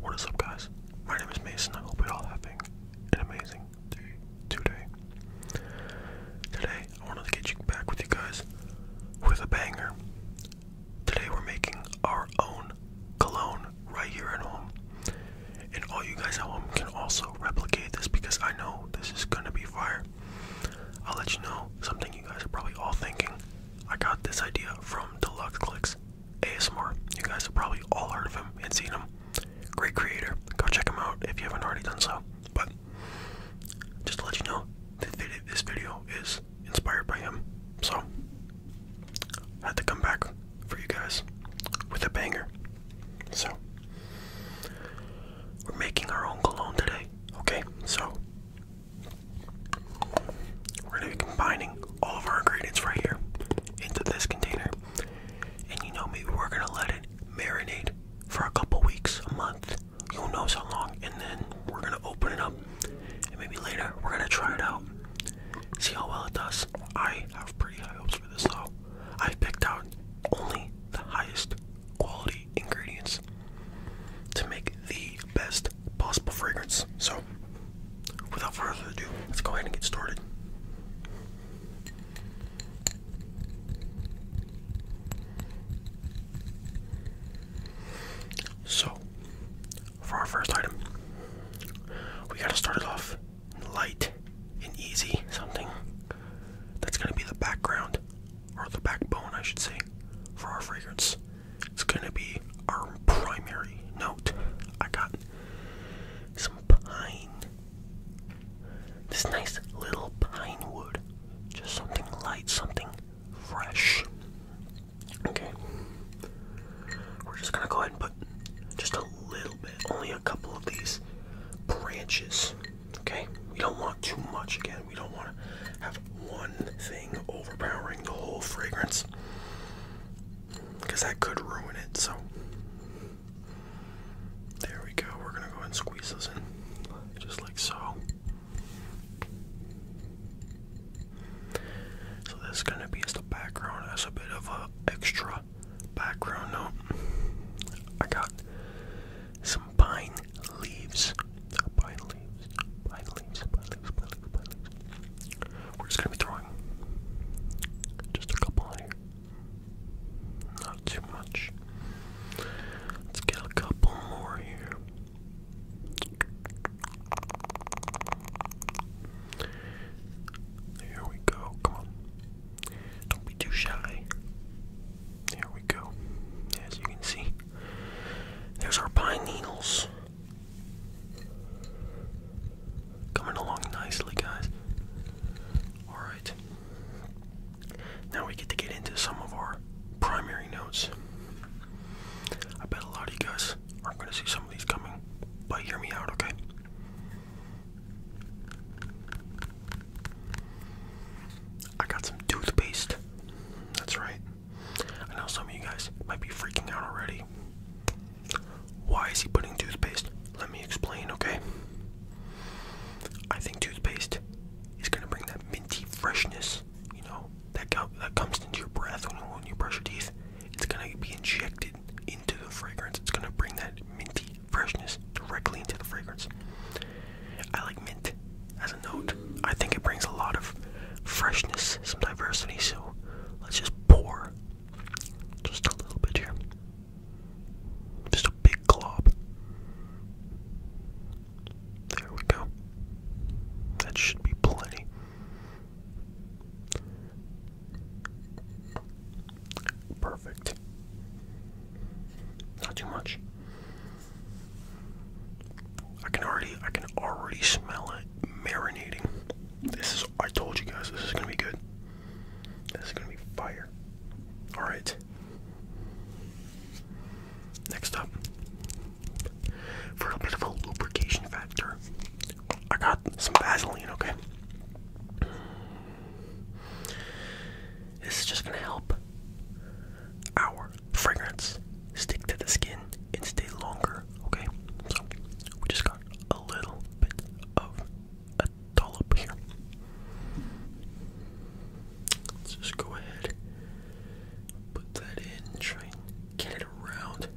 What is up, guys? My name is Mason. I hope you're all having an amazing day today. Today, I wanted to get you back with you guys with a banger. Today, we're making our own cologne right here at home. And all you guys at home can also replicate this because I know this is gonna be fire. I'll let you know something you guys are probably all thinking. I got this idea from Deluxe Clicks ASMR. You guys have probably all heard of him and seen him. Great creator. Go check him out if you haven't already done so. But just to let you know, this video is inspired by him. So, I had to come back for you guys with a banger. So, we're making our own cologne today. Okay, so we're gonna be combining all of our ingredients right here into this container. And you know, maybe we're gonna let it marinate for a couple weeks, a month, who knows how long, and then we're gonna open it up. And maybe later we're gonna try it out. See how well it does. I have pretty high hopes for this though. I've picked out only the highest quality ingredients to make the best possible fragrance. So, without further ado, let's go ahead and get started. So, for our first item, we gotta start it off light and easy, something that's gonna be the background or the backbone, I should say, for our fragrance. It's gonna be our primary note. I got some pine. This nice little pine wood. Just something light, something fresh. Okay. We're just gonna go ahead and put just a little bit, only a couple of these branches Okay, we don't want too much again. We don't want to have one thing overpowering the whole fragrance because that could ruin it. So, there we go. We're going to go ahead and squeeze this in just like so. So, this is going to be as the background, as a bit of an extra background note. I got some pine leaves. Pine leaves. Pine leaves. Pine leaves. Pine leaves. Pine leaves. We're just gonna be throwing just a couple on here. Not too much. Let's get a couple more here. Here we go. Come on. Don't be too shy. There we go. As you can see, there's our pine needles. Coming along nicely, guys. Alright. Now we get to get into some of our primary notes. I bet a lot of you guys aren't going to see some of these coming, but hear me out, okay? I got some toothpaste. That's right. I know some of you guys might be freaking out already. Why is he putting toothpaste? Let me explain, okay? I think toothpaste is gonna bring that minty freshness, you know, that, that comes into your breath when when you brush your teeth. It's gonna be injected into the fragrance. It's gonna bring that minty freshness directly into the fragrance. I like mint as a note. I think it brings a lot of freshness, some diversity. So let's just pour just a little bit here. Just a big glob. There we go. That should be plenty. Perfect. Not too much. I can already I can already smell it marinating. This is I told you guys this is gonna be good. This is gonna be fire. Alright. Next up for a bit of a lubrication factor. I got some Vaseline, okay? This is just gonna help our fragrance stick to the skin and stay longer, okay? So we just got a little bit of a dollop here. Let's just go ahead, put that in, try get it around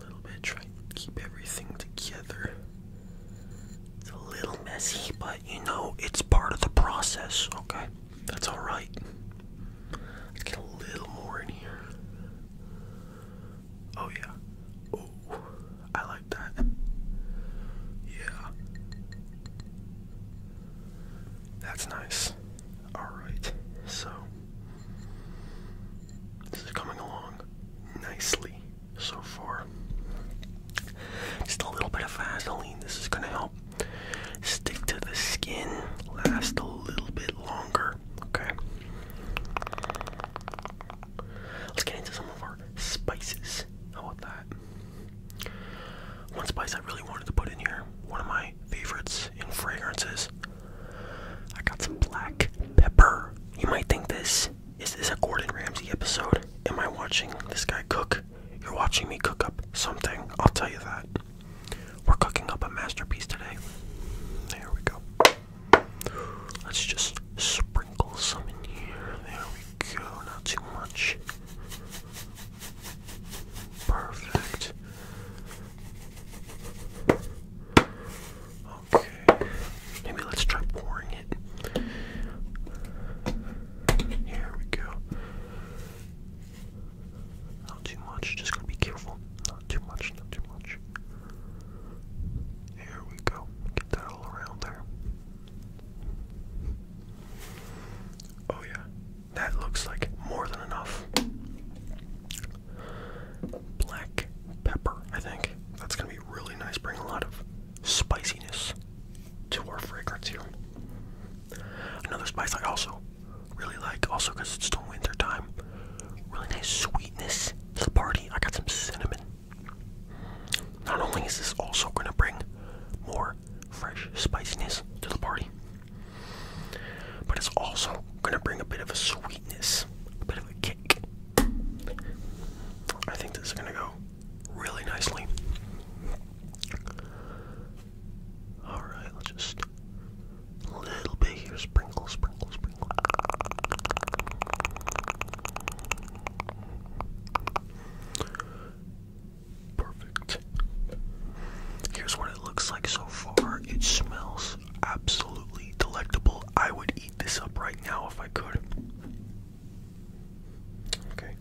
a little bit, try keep everything together. It's a little messy, but you know, it's part of the process, okay? That's alright. Let's get a little more in here. Oh, yeah. Oh, I like that. Yeah. That's nice. Alright, so. This coming along nicely so far. Just a little bit of Vaseline. This is going to help stick to the skin, last a little bit longer. Okay. Let's get into some of our spices. How about that? One spice I really wanted to put in here, one of my favorites in fragrances, I got some black pepper. You might think this is this a Gordon Ramsay episode? Am I watching this guy cook? You're watching me cook up something. I'll tell you that. We're cooking up a masterpiece today. There we go. Let's just sprinkle some in here. There we go. Not too much. Perfect. Okay. Maybe let's try pouring it. Here we go. Not too much. Just gotta be careful. Not too much. Not too much. Here we go. Get that all around there. Oh yeah. That looks like more than enough black pepper, I think. That's gonna be really nice, bring a lot of spiciness to our fragrance here. Another spice I also really like, also because it's still winter time. Really nice sweetness to the party. I got some cinnamon. Not only is this also gonna bring more fresh spiciness to the party, but it's also gonna bring a bit of a sweetness, a bit of a kick. I think this is gonna go really nicely. Alright, just a little bit here, sprinkle, sprinkle, sprinkle. Perfect. Here's what it looks like so far. It smells absolutely delectable. I would eat this up right now if I could. Okay.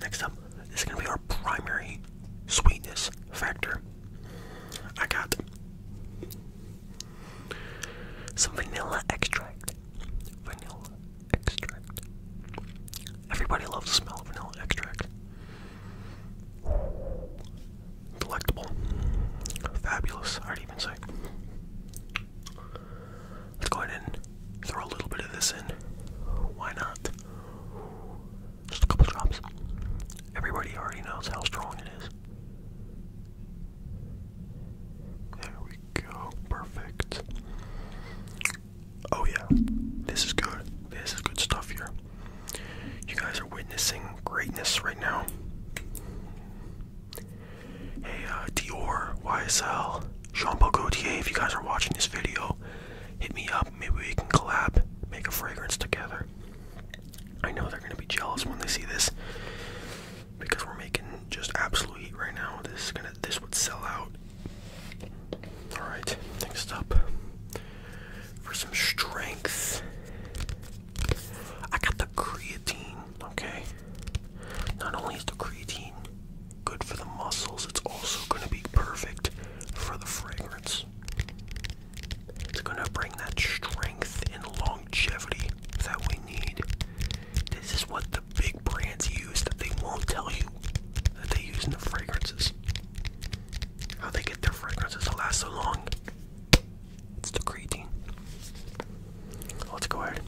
Next up, this is gonna be our primary sweetness factor. I got some vanilla extract. Vanilla extract. Everybody loves the smell of vanilla extract. Delectable. Fabulous, I'd even say. Let's go ahead and throw a little bit of this in. Why not? Just a couple drops. Everybody already knows how strong it is. There we go. Perfect. Oh, yeah, this is good. This is good stuff here. You guys are witnessing greatness right now. Hey, uh, Dior, YSL, Jean Paul Gaultier, if you guys are watching this video, hit me up. Maybe we can collab, make a fragrance together. I know they're going to be jealous when they see this because we're making just absolute heat right now. This is gonna, this would sell out Alright, next up for some strength. I got the creatine, okay? Not only is the creatine good for the muscles, it's also going to be perfect for the fragrance. It's going to bring that strength and longevity that we need. This is what the big brands use that they won't tell you that they use in the fragrances. How they get their fragrances to last so long. It's the creatine. Oh, let's go ahead.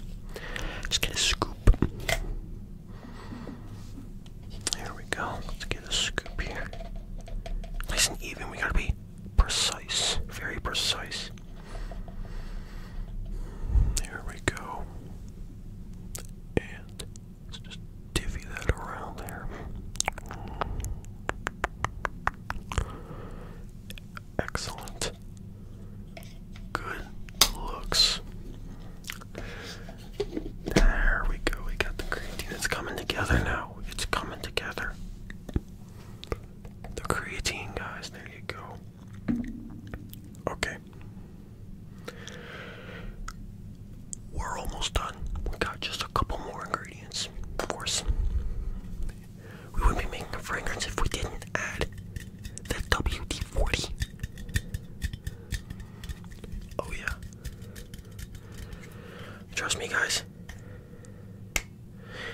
Just get a scoop. There we go. Let's get a scoop here. Nice and even. We gotta be precise. Very precise. There we go. And Let's just divvy that around there. Excellent. Good looks. There we go. We got the creatine. It's coming together now. It's coming together. The creatine, guys. There you go. Okay. We're almost done. We got just a couple more ingredients, of course. We wouldn't be making a fragrance if we didn't add that WD 40. Oh, yeah. Trust me, guys.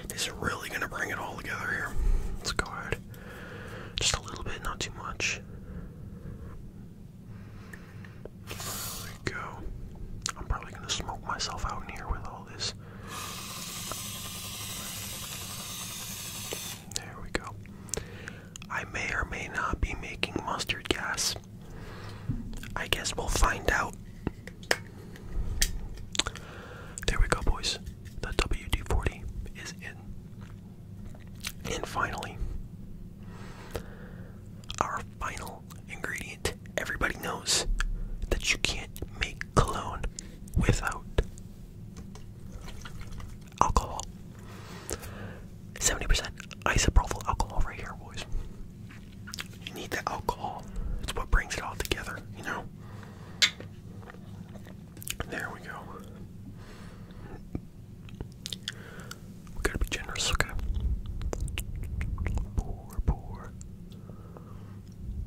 This is really gonna bring it all together here. Let's go ahead. Just a little bit, not too much. go. I'm probably gonna smoke myself out here with all this. There we go. I may or may not be making mustard gas. I guess we'll find out. There we go, boys. The WD 40 is in. And finally, our final ingredient. Everybody knows that you can't make cologne without alcohol. 70% isopropyl alcohol right here, boys. You need the alcohol. It's what brings it all together, you know? There we go. We gotta be generous, okay? Pour, pour.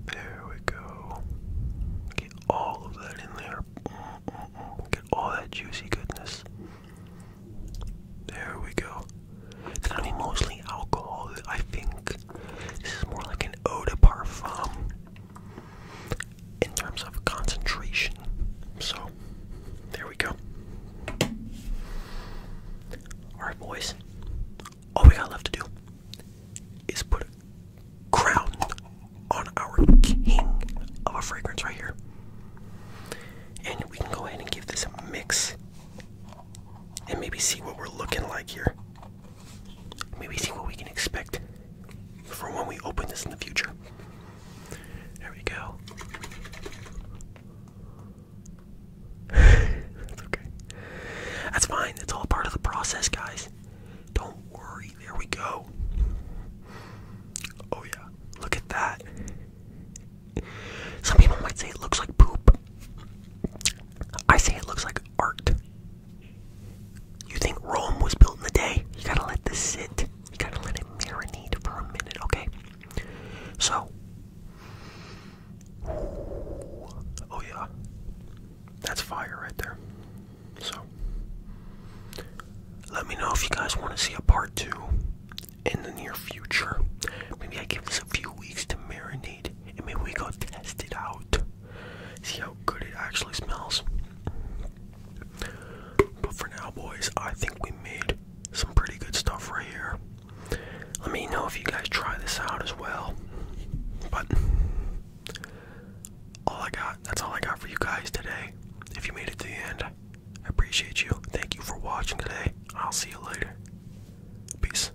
There we go. Get all of that in there. Get all that juicy goodness. There we go. It's gonna be mostly alcohol. I think this is more like an eau de parfum in terms of concentration. So, there we go. Alright, boys, all we got left to do is put a crown on our king of a fragrance right here. And we can go ahead and give this a mix and maybe see what we're looking like here maybe see what we can expect for when we open this in the future. There we go. That's okay. That's fine. It's all part of the process, guys. Don't worry. There we go. Oh, yeah. Look at that. Some people might say it looks like poop. I say it looks like art. You think Rome was built in a day? You gotta let this sit. You gotta let it marinate for a minute, okay? So. Oh, yeah. That's fire right there. So. Let me know if you guys want to see a part two in the near future. Maybe I give this a few weeks to marinate and maybe we go test it out. See how good it actually smells. But for now, boys, I think we made some pretty good stuff right here. Let me know if you guys try this out as well. But all I got, that's all I got for you guys today. If you made it to the end, I appreciate you. Thank you for watching today. I'll see you later. Peace.